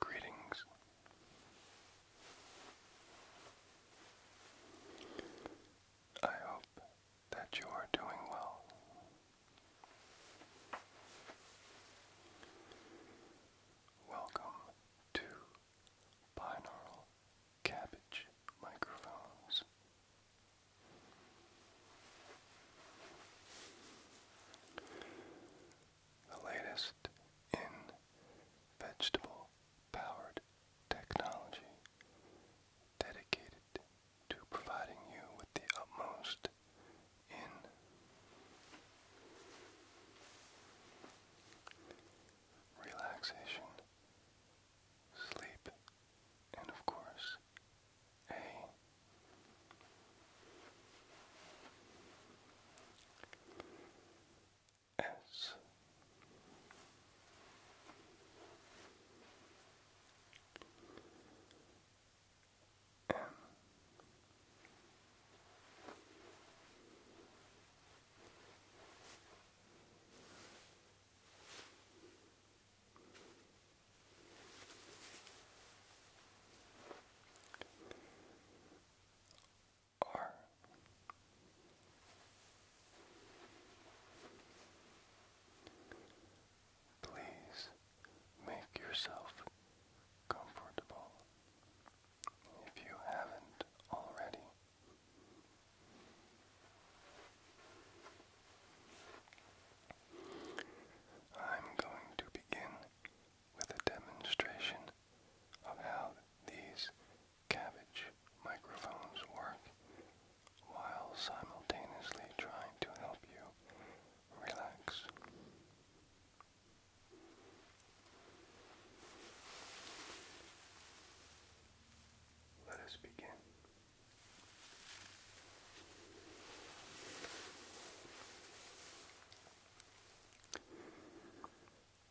Greetings. I hope that you are doing well. Welcome to Binaural Cabbage Microphones the latest in vegetable powered technology dedicated to providing you with the utmost in relaxation, sleep, and of course, a S M are. Please make yourself comfortable if you haven't already. I'm going to begin with a demonstration of how these cabbage microphones work while simultaneously trying to help you relax. Let us begin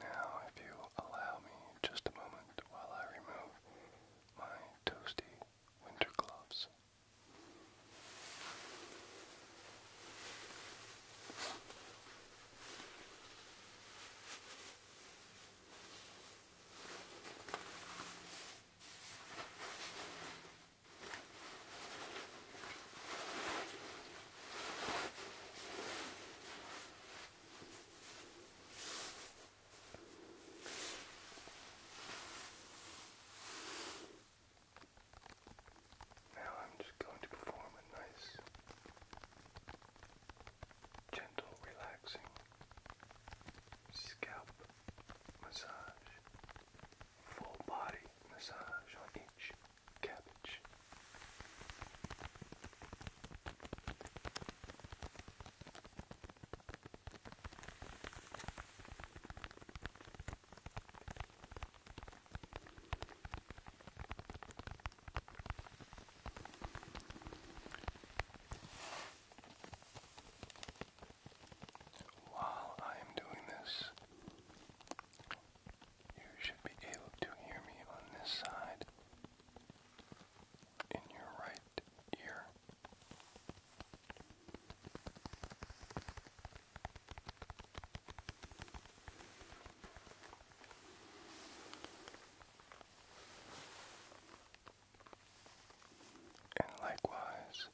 Now, if you allow me just a moment while I remove my toasty winter gloves. Now I'm just going to perform a nice, gentle, relaxing scalp massage, full body massage on each cabbage. While I am doing this, you should be able to hear me on this side in your right ear. And likewise,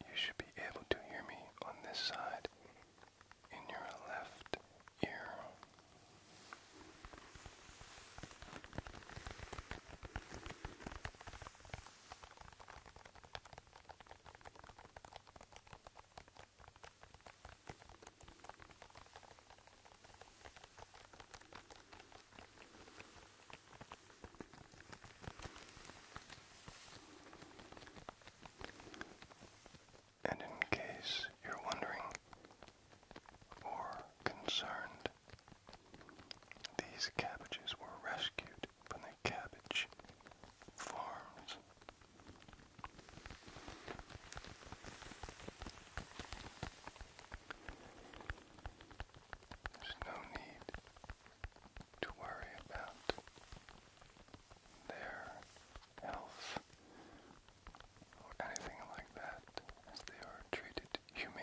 you should be able to hear me on this side in your left ear. And in case you're wondering or concerned. These cabbages were rescued from the cabbage farms. There's no need to worry about their health or anything like that, as they are treated humanely.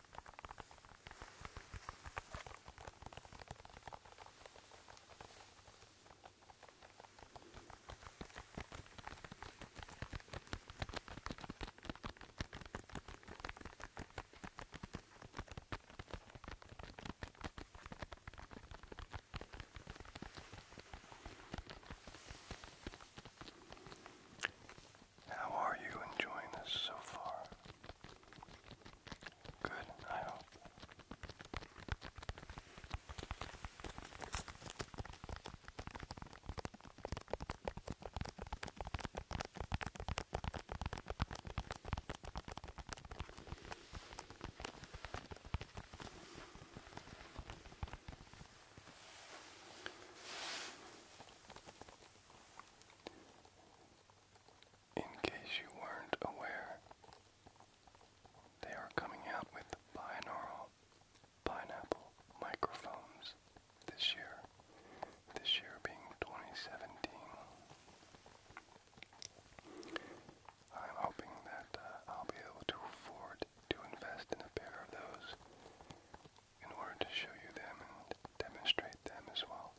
How are you enjoying this so far? Good, I hope. In case you weren't aware, they are coming out with binaural pineapple microphones this year, this year being 2017. I'm hoping that uh, I'll be able to afford to invest in a pair of those in order to show you them and demonstrate them as well.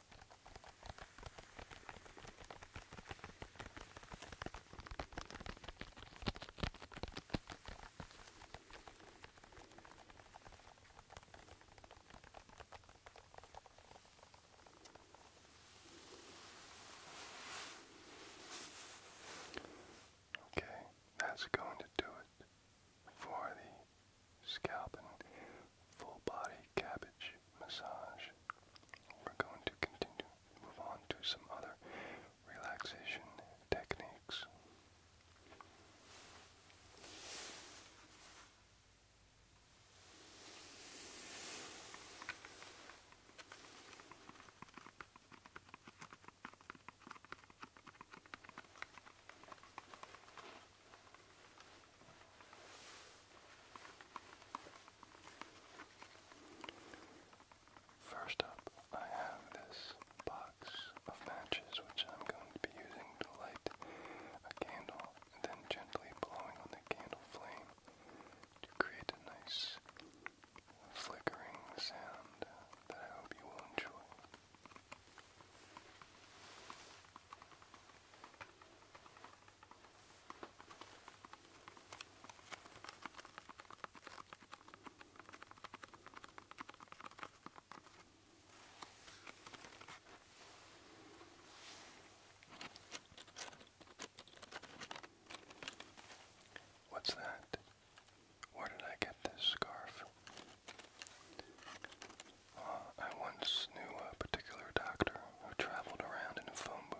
Okay, that's going to do it for the scalp and full body cabbage massage. We're going to continue, move on to some other relaxation techniques. First up, I have this box of matches which I'm going to be using to light a candle and then gently blowing on the candle flame to create a nice flickering sound that I hope you will enjoy. What's that? Where did I get this scarf? Uh, I once knew a particular doctor who traveled around in a phone booth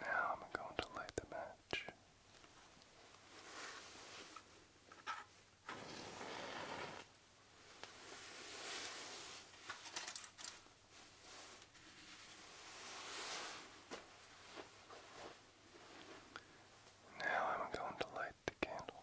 Now I'm going to light the match. Now I'm going to light the candle.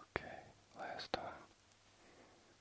Okay, last time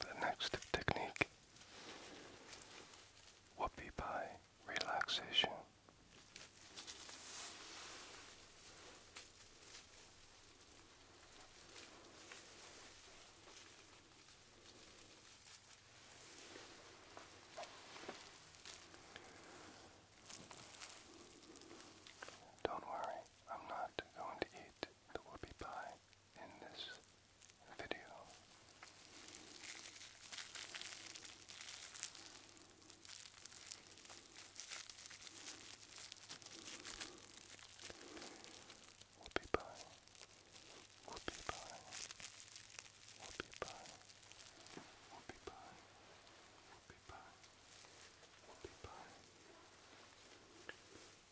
the next technique will be by relaxation. Don't worry, I'm not going to eat the whoopie pie in this video. Whoopie pie, whoopie pie, whoopie pie, whoopie pie, whoopie pie, whoopie pie.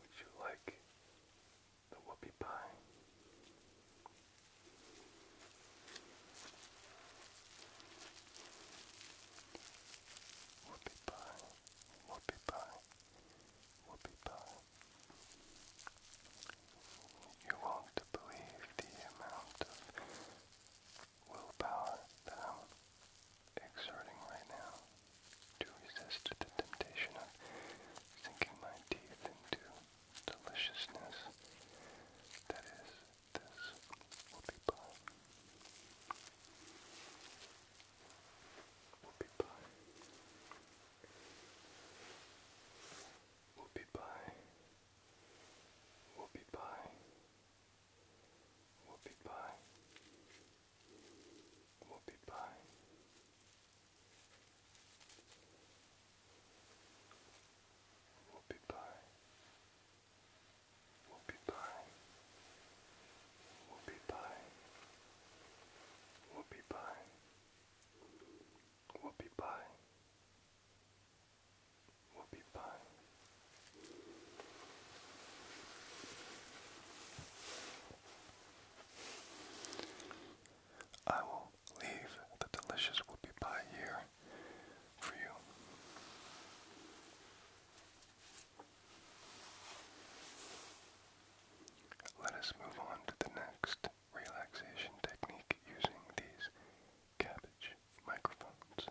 Would you like the whoopie pie? Whoopie pie, whoopie pie, whoopie pie. You won't believe the amount of willpower that I'm exerting right now to resist the temptation of sinking my teeth into deliciousness that is this whoopie pie. Whoopie pie. Whoopie pie. Whoopie pie. Whoopie pie. Whoopie pie. Whoopie pie. Whoopie pie. Whoopie pie. Whoopie pie. Whoopie pie. Whoopie pie will be fine. I will leave the delicious whoopie pie here for you. Let us move on to the next relaxation technique using these cabbage microphones.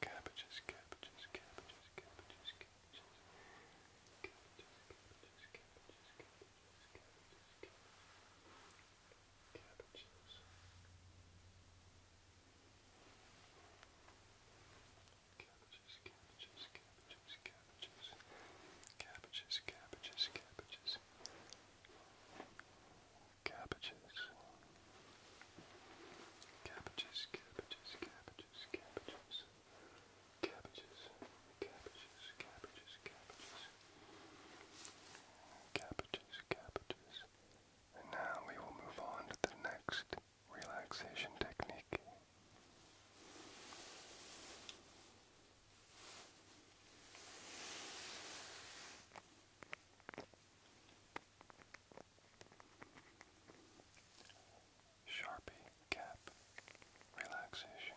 Cabbages, cabbages, cabbages, cabbages, cabbages. Cabbages, cabbages, cabbages, cabbages, cabbages, cabbages. Cabbages. Cabbages, cabbages, cabbages, cabbages. Cabbages, cabbages, cabbages. Cabbages, cabbages, cabbages, cabbages. Cabbages. Cabbages, cabbages, cabbages, cabbages. Cabbages, cabbages, cabbages, cabbages. And now we will move on to the next relaxation technique. Sharpie Cap Relaxation.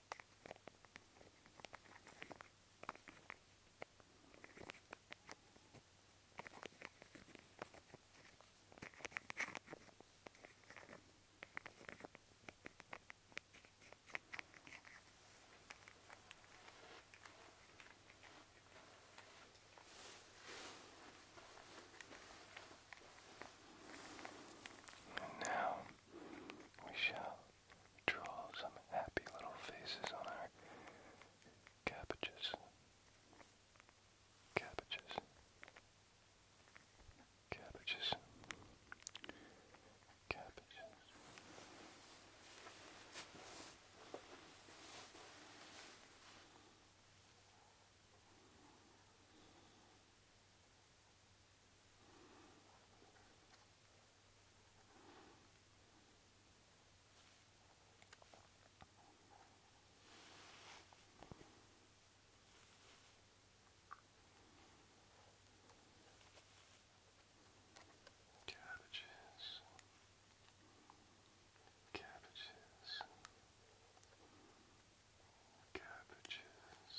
And now we shall draw some happy little faces on our cabbages. Cabbages. Cabbages. Cabbages. Cabbages. Cabbages, cabbages, cabbages, cabbages, cabbages,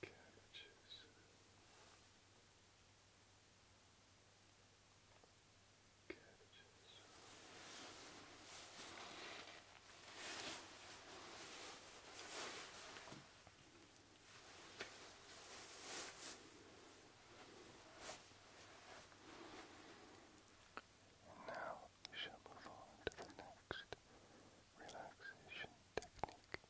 Cabbages. Cabbages. And now we shall move on to the next relaxation technique.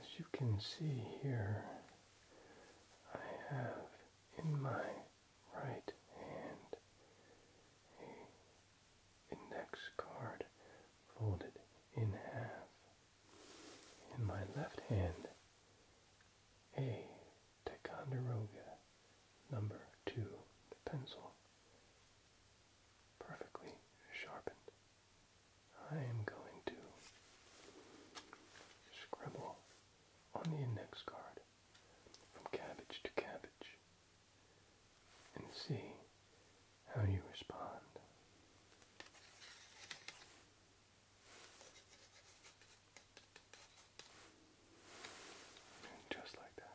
As you can see here, I have in my right hand, a index card folded in half. In my left hand, a Ticonderoga number two pencil, perfectly sharpened. I am going to scribble on the index card from cabbage to cabbage, and see how you respond. just like that.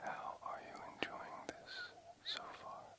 How are you enjoying this so far?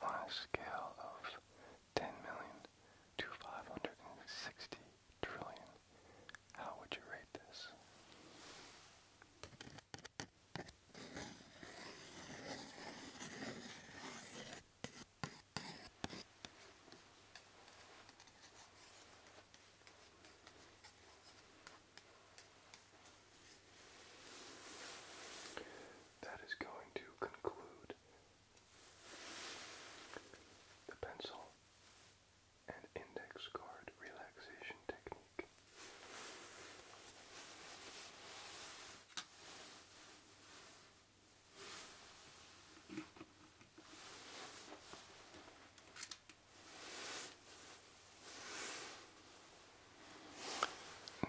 on a scale of 10 million to 560 trillion. How would you rate this? That is going to conclude the pencil and index card relaxation technique.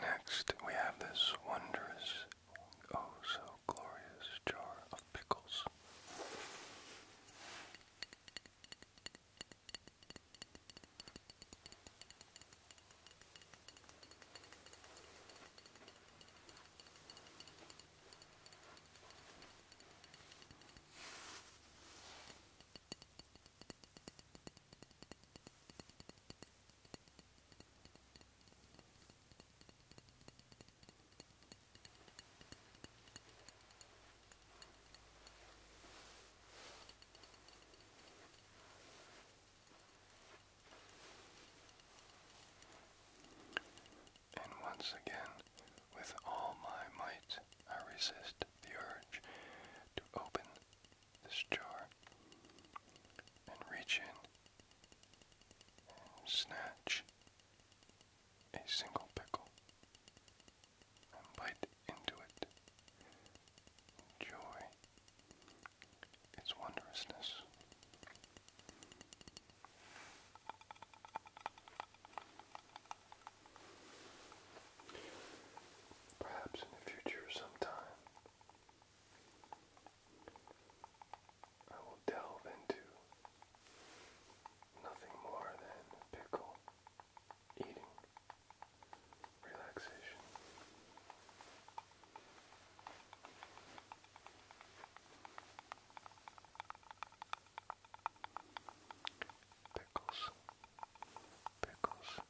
Next, we have this wondrous, oh so glorious jar of pickles. And once again, with all my might, I resist the urge to open this jar and reach in snatch a single pickle and bite into it. Enjoy its wondrousness. Perhaps in the future sometime, I will delve into nothing more than pickle eating relaxation. Pickles, pickles,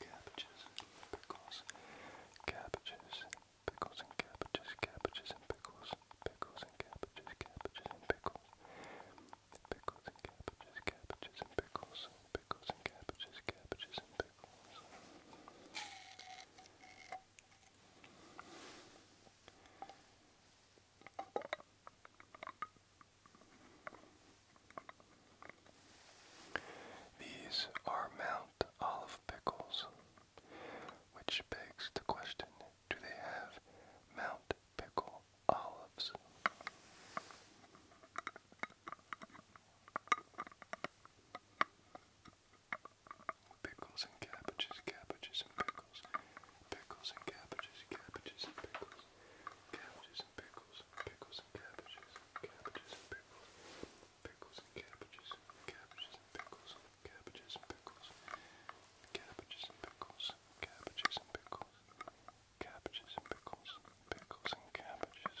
Cabbages, pickles, cabbages, pickles and cabbages, cabbages and pickles, pickles and cabbages, cabbages and pickles, pickles and cabbages, cabbages and pickles, pickles and cabbages, cabbages and pickles. These are Mount olive pickles, which begs the question, do they have Mount Pickle olives? Pickles and cabbages, cabbages and pickles, pickles and cabbages, cabbages and pickles, cabbages and pickles, pickles and cabbages, cabbages and pickles, pickles and cabbages, cabbages and pickles, cabbages and pickles, cabbages and pickles, cabbages and pickles, cabbages and pickles, pickles and cabbages,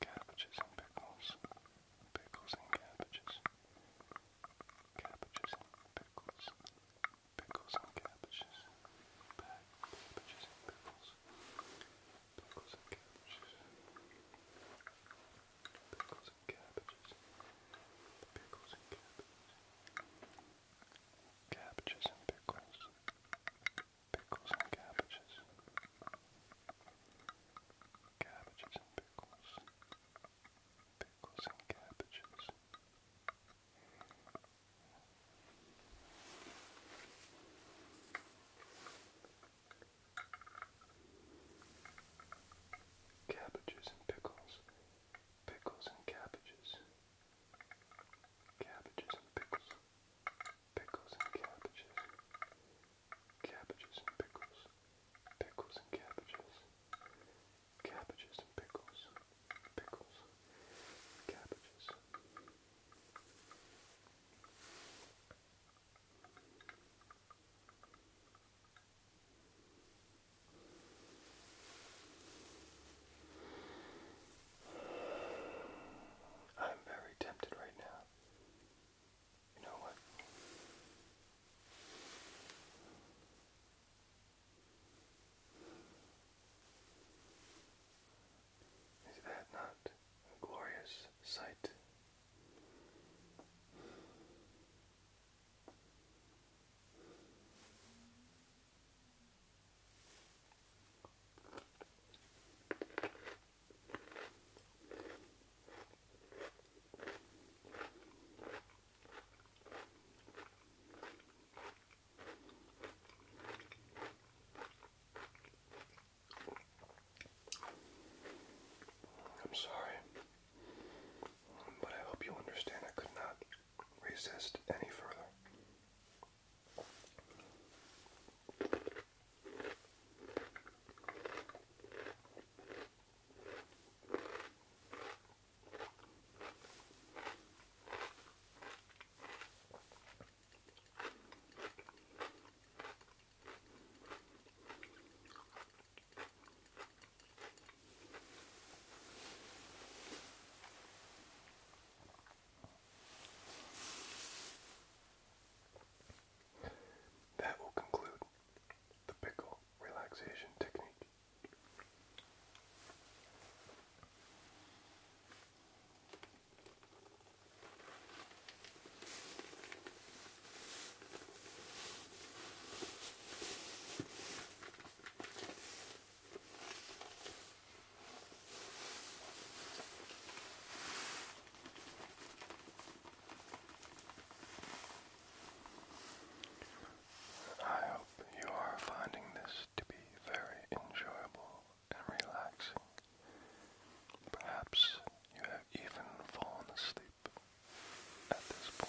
cabbages and pickles, pickles and cabbages, cabbages and pickles, pickles and cabbages, cabbages and pickles. Pickles and cabbages. Pickles and cabbages. Pickles and cabbages. Cabbages and pickles. Pickles and cabbages. Cabbages and pickles. Pickles and cabbages. Cabbages and pickles. Pickles and cabbages. Cabbages and pickles. Pickles and cabbages. Cabbages and pickles. Pickles and cabbages. Cabbages and pickles. Pickles. Cabbages. I'm very tempted right now. You know what? Is that not a glorious sight? I'm sorry, but I hope you understand I could not resist any further. That will conclude the pickle relaxation technique. I hope you are finding this to be very enjoyable and relaxing. Perhaps you have even fallen asleep at this point.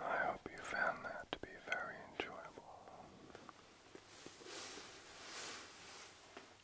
I hope you found that to be very enjoyable.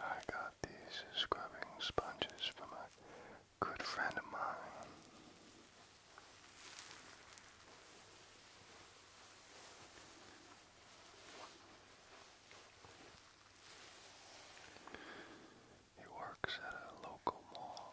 I got these scrubbing sponges from a good friend of mine. He works at a local mall.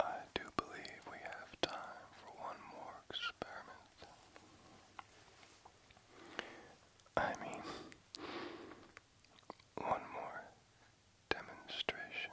I do believe we have time for one more experiment. I mean, one more demonstration.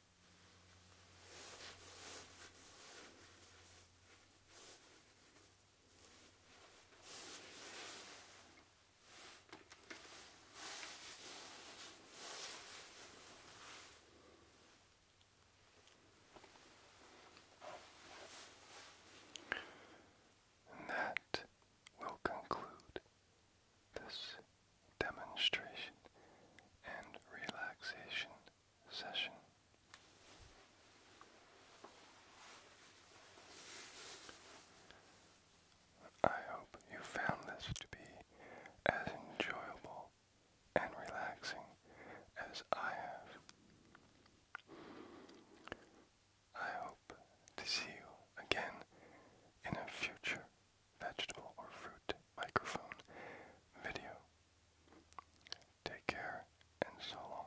And that will conclude this demonstration and relaxation session. I hope you found this to be as enjoyable and relaxing as I have. I hope to see you again in a future vegetable or fruit microphone video. Take care and so long.